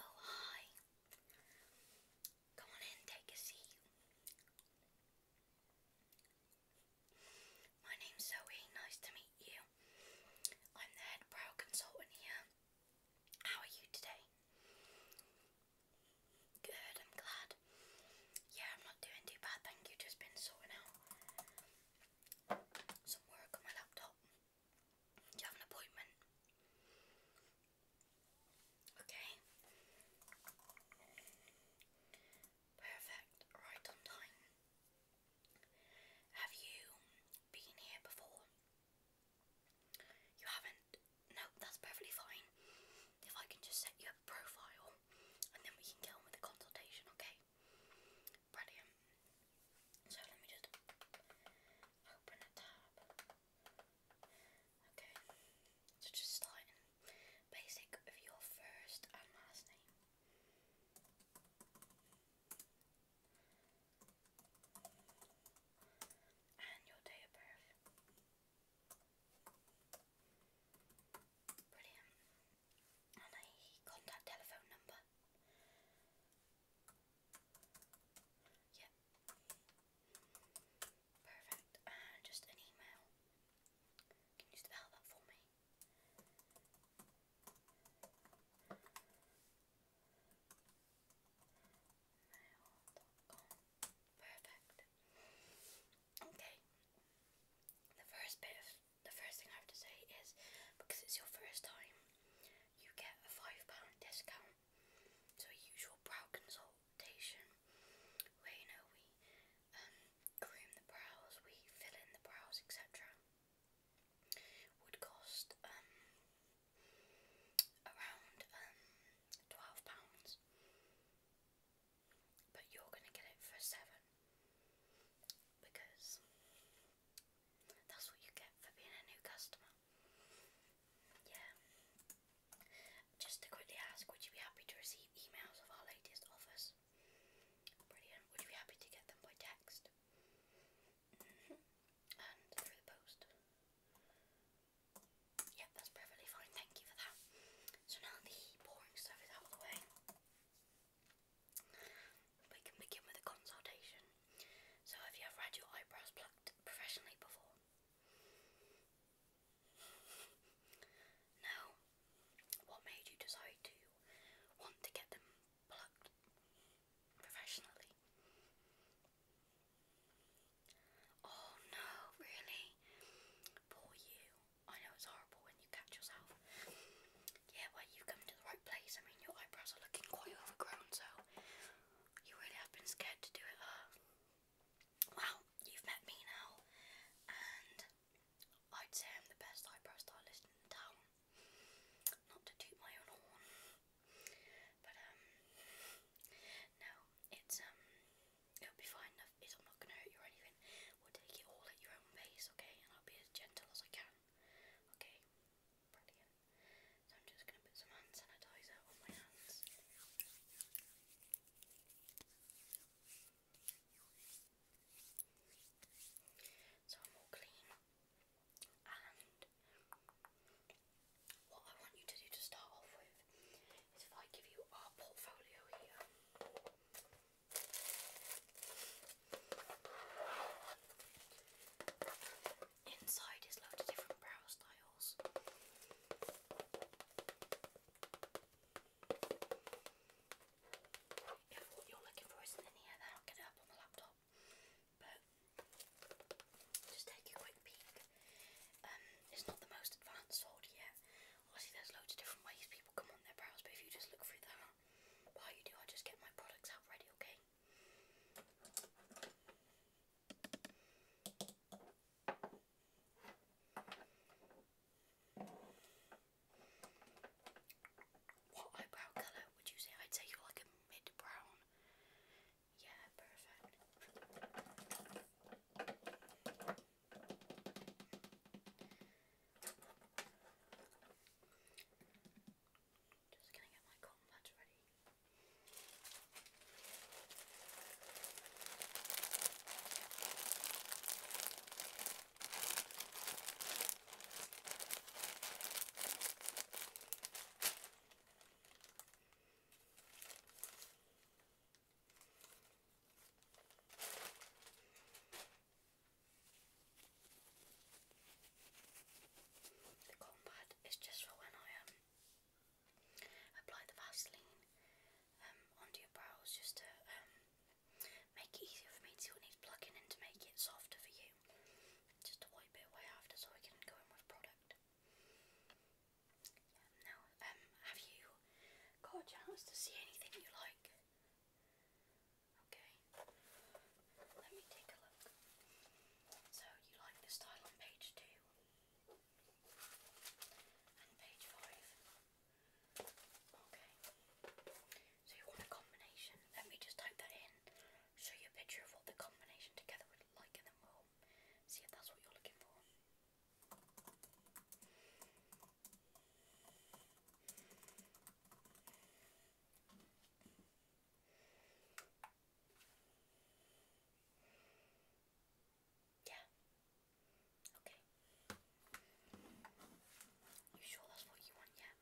Oh, hi. Come on in, take a seat. My name's Zoe, nice to meet meet I'm the head brow consultant here. How are you today? Good, I'm glad. Yeah, I'm not doing too bad, thank you. Just been sorting out some work on my laptop. Do you have an appointment? Okay. Perfect. Right on time. Have you been here before? You haven't? No, that's perfectly fine. If I can just set you a profile and then we can get on with the consultation, okay? Brilliant. So let me just open a tab. Okay, so just starting basic of your first and last name and your of birth. Brilliant. And a contact telephone number. Yep. Perfect. And just an email. Can you spell that for me? Perfect. Okay. The first bit the first thing I have to say is because it's your first time, you get a five pound discount. So usual brow consultation where you know we um, groom the brows, we fill in the brows, etc would cost um, around um, £12, but you're going to get it for 7 because that's what you get for being a new customer. Yeah. Just to quickly ask, would you be happy to receive emails of our latest offers? Would you be happy to get them by text? Mm-hmm. and through the post? Yep, that's perfectly fine. Thank you for that. So now the boring stuff is out of the way. We can begin with a consultation. So have you ever had your eyebrows plucked professionally before? No? What made you decide to want to get them plucked professionally? Oh no, really? Poor you. I know it's horrible when you catch yourself. Yeah, well, you've come to the right place. I mean, your eyebrows are looking quite overgrown, so you really have been scared to do it. well, you've met me now, and I'd say I'm the best eyebrow stylist in the town. Not to toot my own horn. But um no, it's um it'll be fine it's I'm not gonna hurt you or anything. We'll take it all at your own pace, okay? And I'll be as gentle as I can. Okay? Brilliant. So I'm just gonna put some hand sanitizer on my hands. So I'm all clean. And what I want you to do to start off with is if I give you our portfolio here. Inside is loads of different brow styles. If what you're looking for isn't in here, then I'll get it up on the laptop. But just take a quick peek. Um, it's not the most advanced sword yet. Obviously, there's loads of different ways people come on their brows, but if you just look through that, while you do, I just get my products out ready, Okay, what eyebrow colour would you say? I'd say you're like a mid brown. Yeah, perfect. Just gonna get my cotton pads ready. The cotton pad is just for when I um, apply the Vaseline um, onto your brows just to um, Make it easier for me to see what needs to make it softer for you. Just wipe it away after so I can go in with product. Um, um, have you got a chance to see anything you like? Okay, let me take a look. So, you like the style on page 2 and page 5. Okay. So you want a combination. Let me just type that in. Show you a picture of what the combination together would look like and then we see if that's what you're looking for. Yeah. Okay. You sure that's what you want, yeah?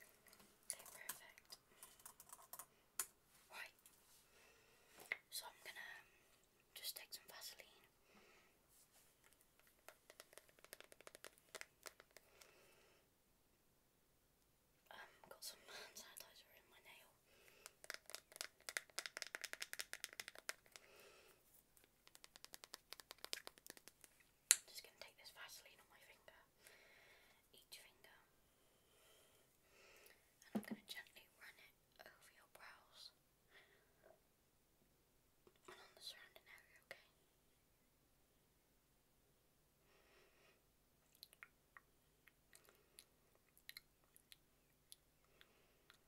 Okay, perfect. Right. So I'm gonna um, just take some Vaseline. Um, got some hand sanitizer in my nail. I'm just going to take this Vaseline on my finger, each finger, and I'm going to gently run it over your brows and on the surrounding area, okay?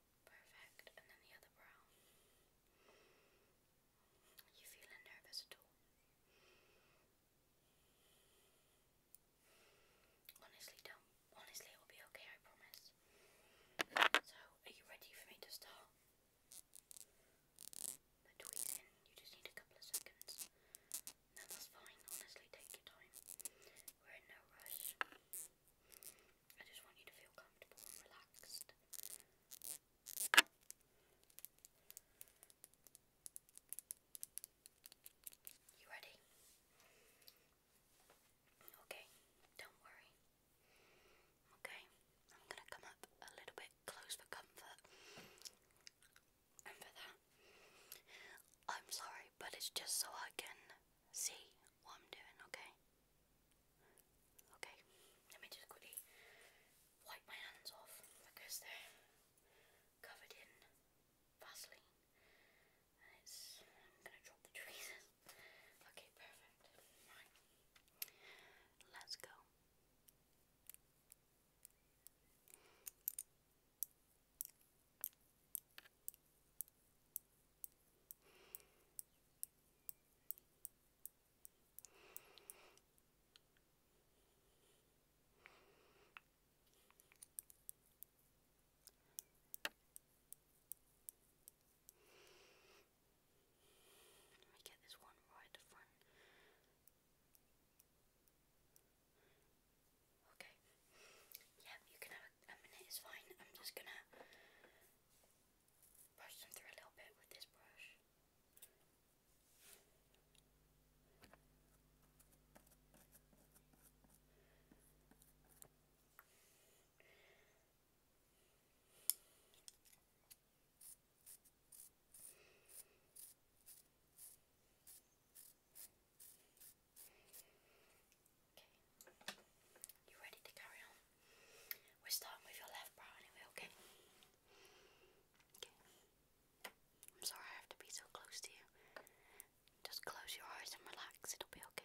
Perfect. And then the other brow. Are you feeling nervous at all? Honestly, don't. Honestly, it will be okay, I promise. So, are you ready for me to start? The tweezing, you just need a couple of seconds. No, that's fine. Honestly, take your time. We're in no rush. I just want you to feel comfortable and relaxed. You ready? Okay, don't worry. Okay, I'm gonna come up a little bit close for comfort. for that, I'm sorry, but it's just so I can see what I'm doing, okay? Okay, let me just quickly wipe my hands off because they're covered in Vaseline and it's I'm gonna drop the tweezers. Okay, perfect. Right. Let's go. Let me get this one right at the front. Okay. Yep, you can have a, minute, it's fine. I'm just gonna brush them through a little bit with this brush. You ready to carry on? We're starting with your left brow anyway, okay? Okay. I'm sorry I have to be so close to you. Just close your eyes and relax, it'll be Okay.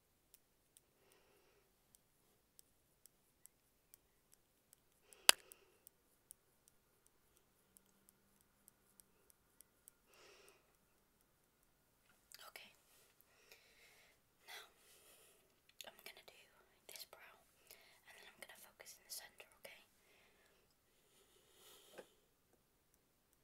Okay. Now I'm gonna do this brow and then I'm gonna focus in the center, okay?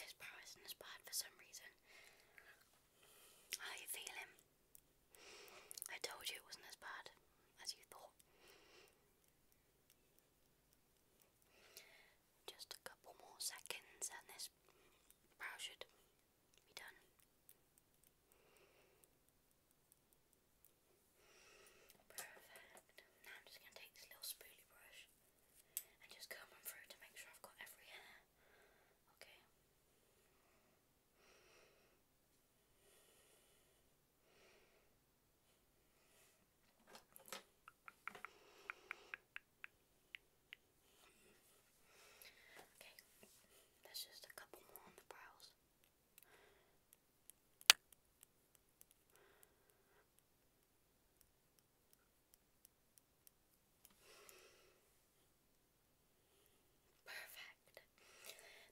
This not as bad for some reason. How you feeling? I told you it wasn't as bad as you thought. Just a couple more seconds and this brow should be done. Perfect. Now I'm just going to take this little spoolie brush and just comb them through to make sure I've got every hair. Okay. Okay, that's just a couple more on the brows. Perfect.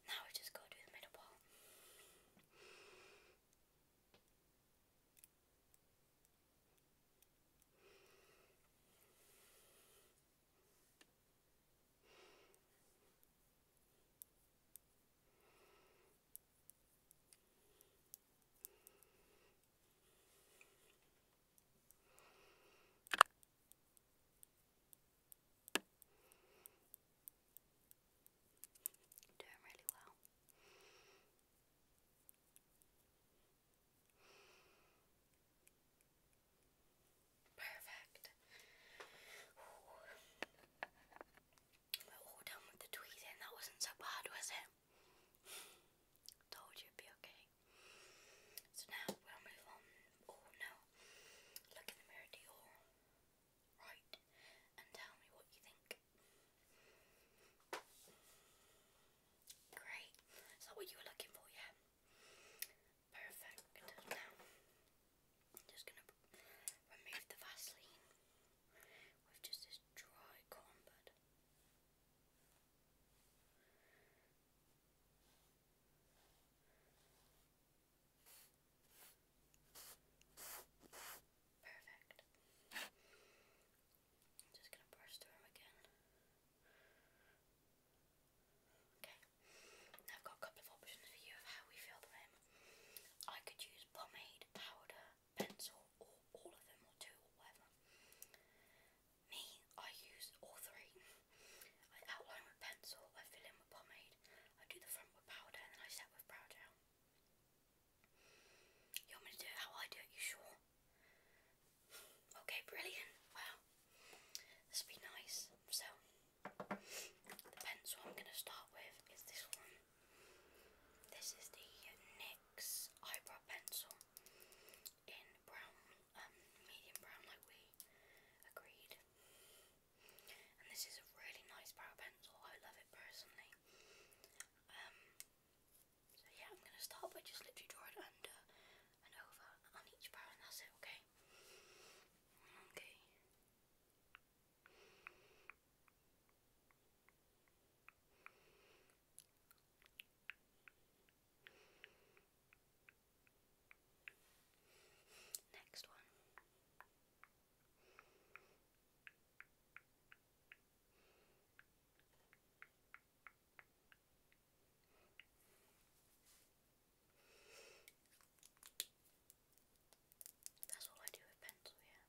Now we just go to the middle ball. Doing really well. Perfect. We're all done with the tweezing. That wasn't so bad, was it? Told you it'd be okay. So now we'll move on. Oh no. Look in the mirror to right and tell me what you think. Great. Is that what you were looking for? Yeah. Perfect. Now, just going to remove the Vaseline with just this dry cotton bud. Perfect. I'm just gonna brush them again. Okay, now I've got a couple of options for you of how we fill them I could use pomade, powder, pencil, or all of them, or two, or whatever. Me, I use all three. I outline with pencil, I fill in with pomade, I do the front with powder, and then I set with brow gel. You want me to do it how I do it, you sure? Okay, brilliant. Wow. This will be nice. So, the pencil I'm going to start with is this one. This is the NYX eyebrow pencil in brown, um, medium brown, like we agreed. And this is a really nice brow pencil. I love it personally. Um, so yeah, I'm gonna start by just literally drawing under and over on each brow, and that's it. Okay. Okay. Next one. That's all I do with pencil, yeah.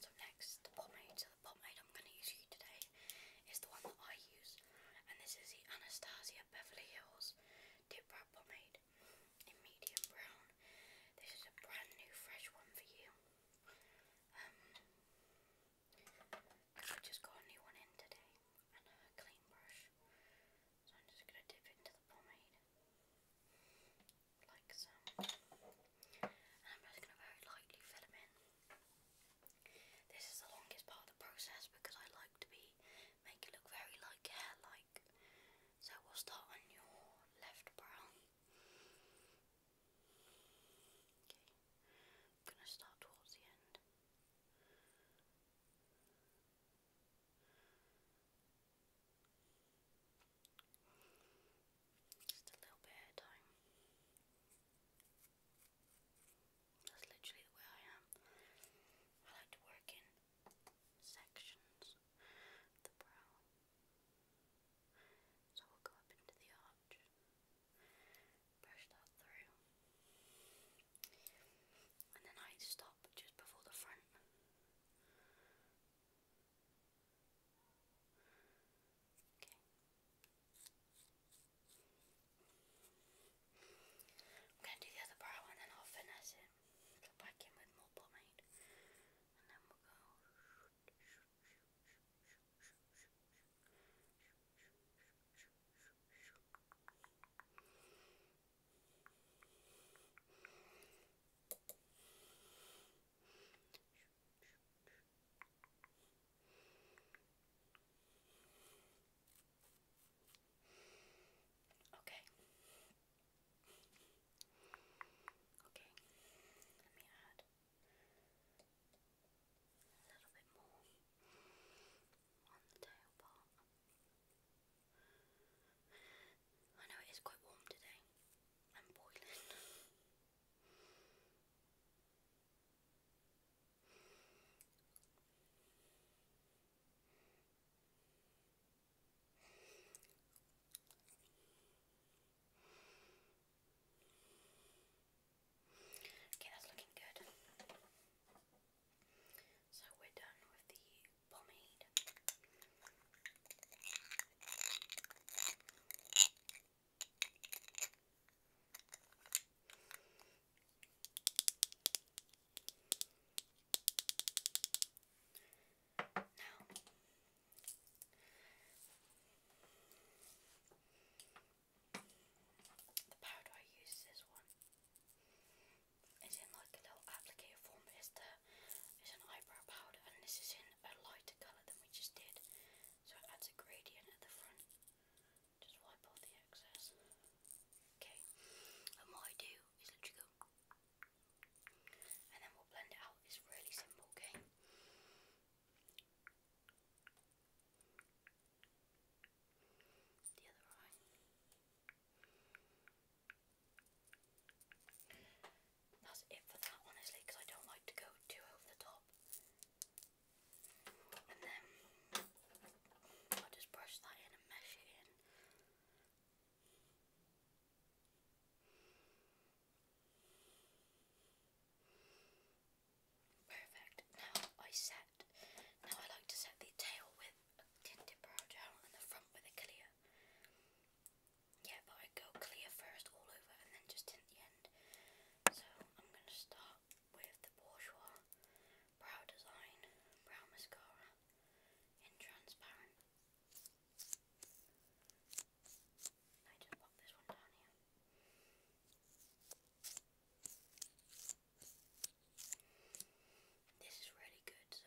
So next, pomade pomade I'm going to use you today is the one that I use, and this is the Anastasia Beverly Hills Dip Brow Pomade in medium brown. This is a brand new, fresh one for you. Um, I just got a new one in today and clean brush, so I'm just going to dip into the pomade like so. And I'm just going to very lightly fill them in. This is the longest part of the process because I like to be make it look very like hair like. So we'll start on your left brow. Okay. I'm gonna start towards the end. Just a little bit at a time. That's literally the way I am. I like to work in sections the brow. So we'll go up into the arch, brush that through, and then I stop just before the front. Okay. I'm going to do the other brow and then I'll finesse it. Go back in with more And then we'll go. Okay. Okay. Let me add a little bit more on the tail part. I know it is quite warm today. I'm boiling. Okay, that's looking good. So we're done with the pomade. Now, the powder I use this one. It's in like a little applicator form, it's the it's an eyebrow powder, and this is in a lighter colour than we just did. So it adds a gradient at the front. Just wipe off the excess. Okay. And what I do is literally go and then we'll blend it out. It's really simple, okay? The other eye. That's it for that, honestly, because I don't like to go too over the top. And then i just brush that in and mesh it in. Perfect. Now I set. Now I like to set the tail with a tinted brow gel and the front with a clear. Yeah, but I go clear first all over and then just in the end. So I'm going to start with the Bourjois Brow Design Brow Mascara in Transparent. I just pop this one down here. This is really good, so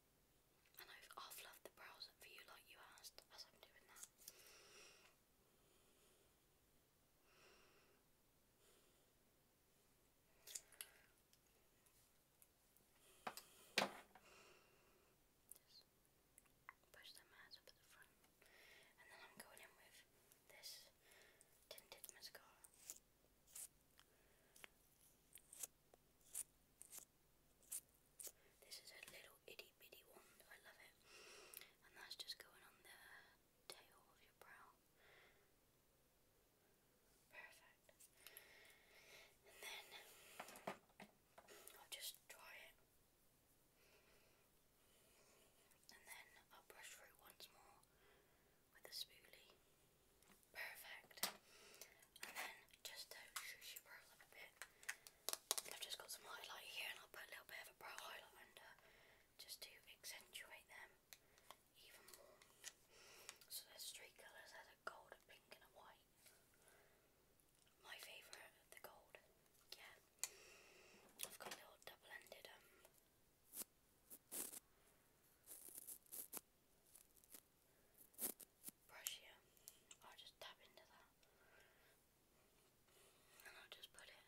and I've half loved the brows for you like you asked, as I'm doing that. push them out up at the front. And then I'm going in with this tinted mascara. This is a little itty bitty wand, I love it. And that's just going on the tail of your brow. Perfect. And then I'll just dry it. And then I'll brush through once more with a spoolie. Perfect. And then just to shush your brow up a bit, I've just got some highlight here and I'll put a little bit of a brow highlight under just to accentuate them even more. So there's three colours, there's a gold, a pink and a white. My favourite, the gold. Yeah. I've got a little double-ended um, brush here. I'll just tap into that. And I'll just put it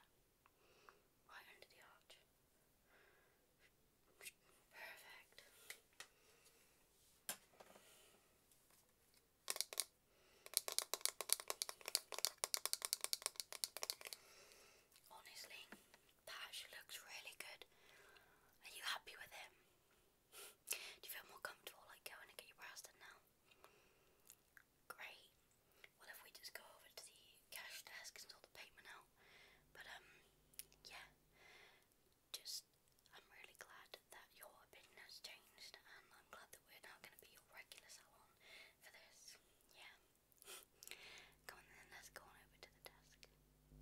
right under the arch. Perfect. Honestly, that actually looks really good. Are you happy with it? Do you feel more comfortable like going and get your brows done now? Great. Well, if we just go over to the cash desk and sort the payment out? But um, yeah. Just, I'm really glad that your opinion has changed, and I'm glad that we're now going to be your regular salon for this. Yeah. Come on then, let's go on over to the desk.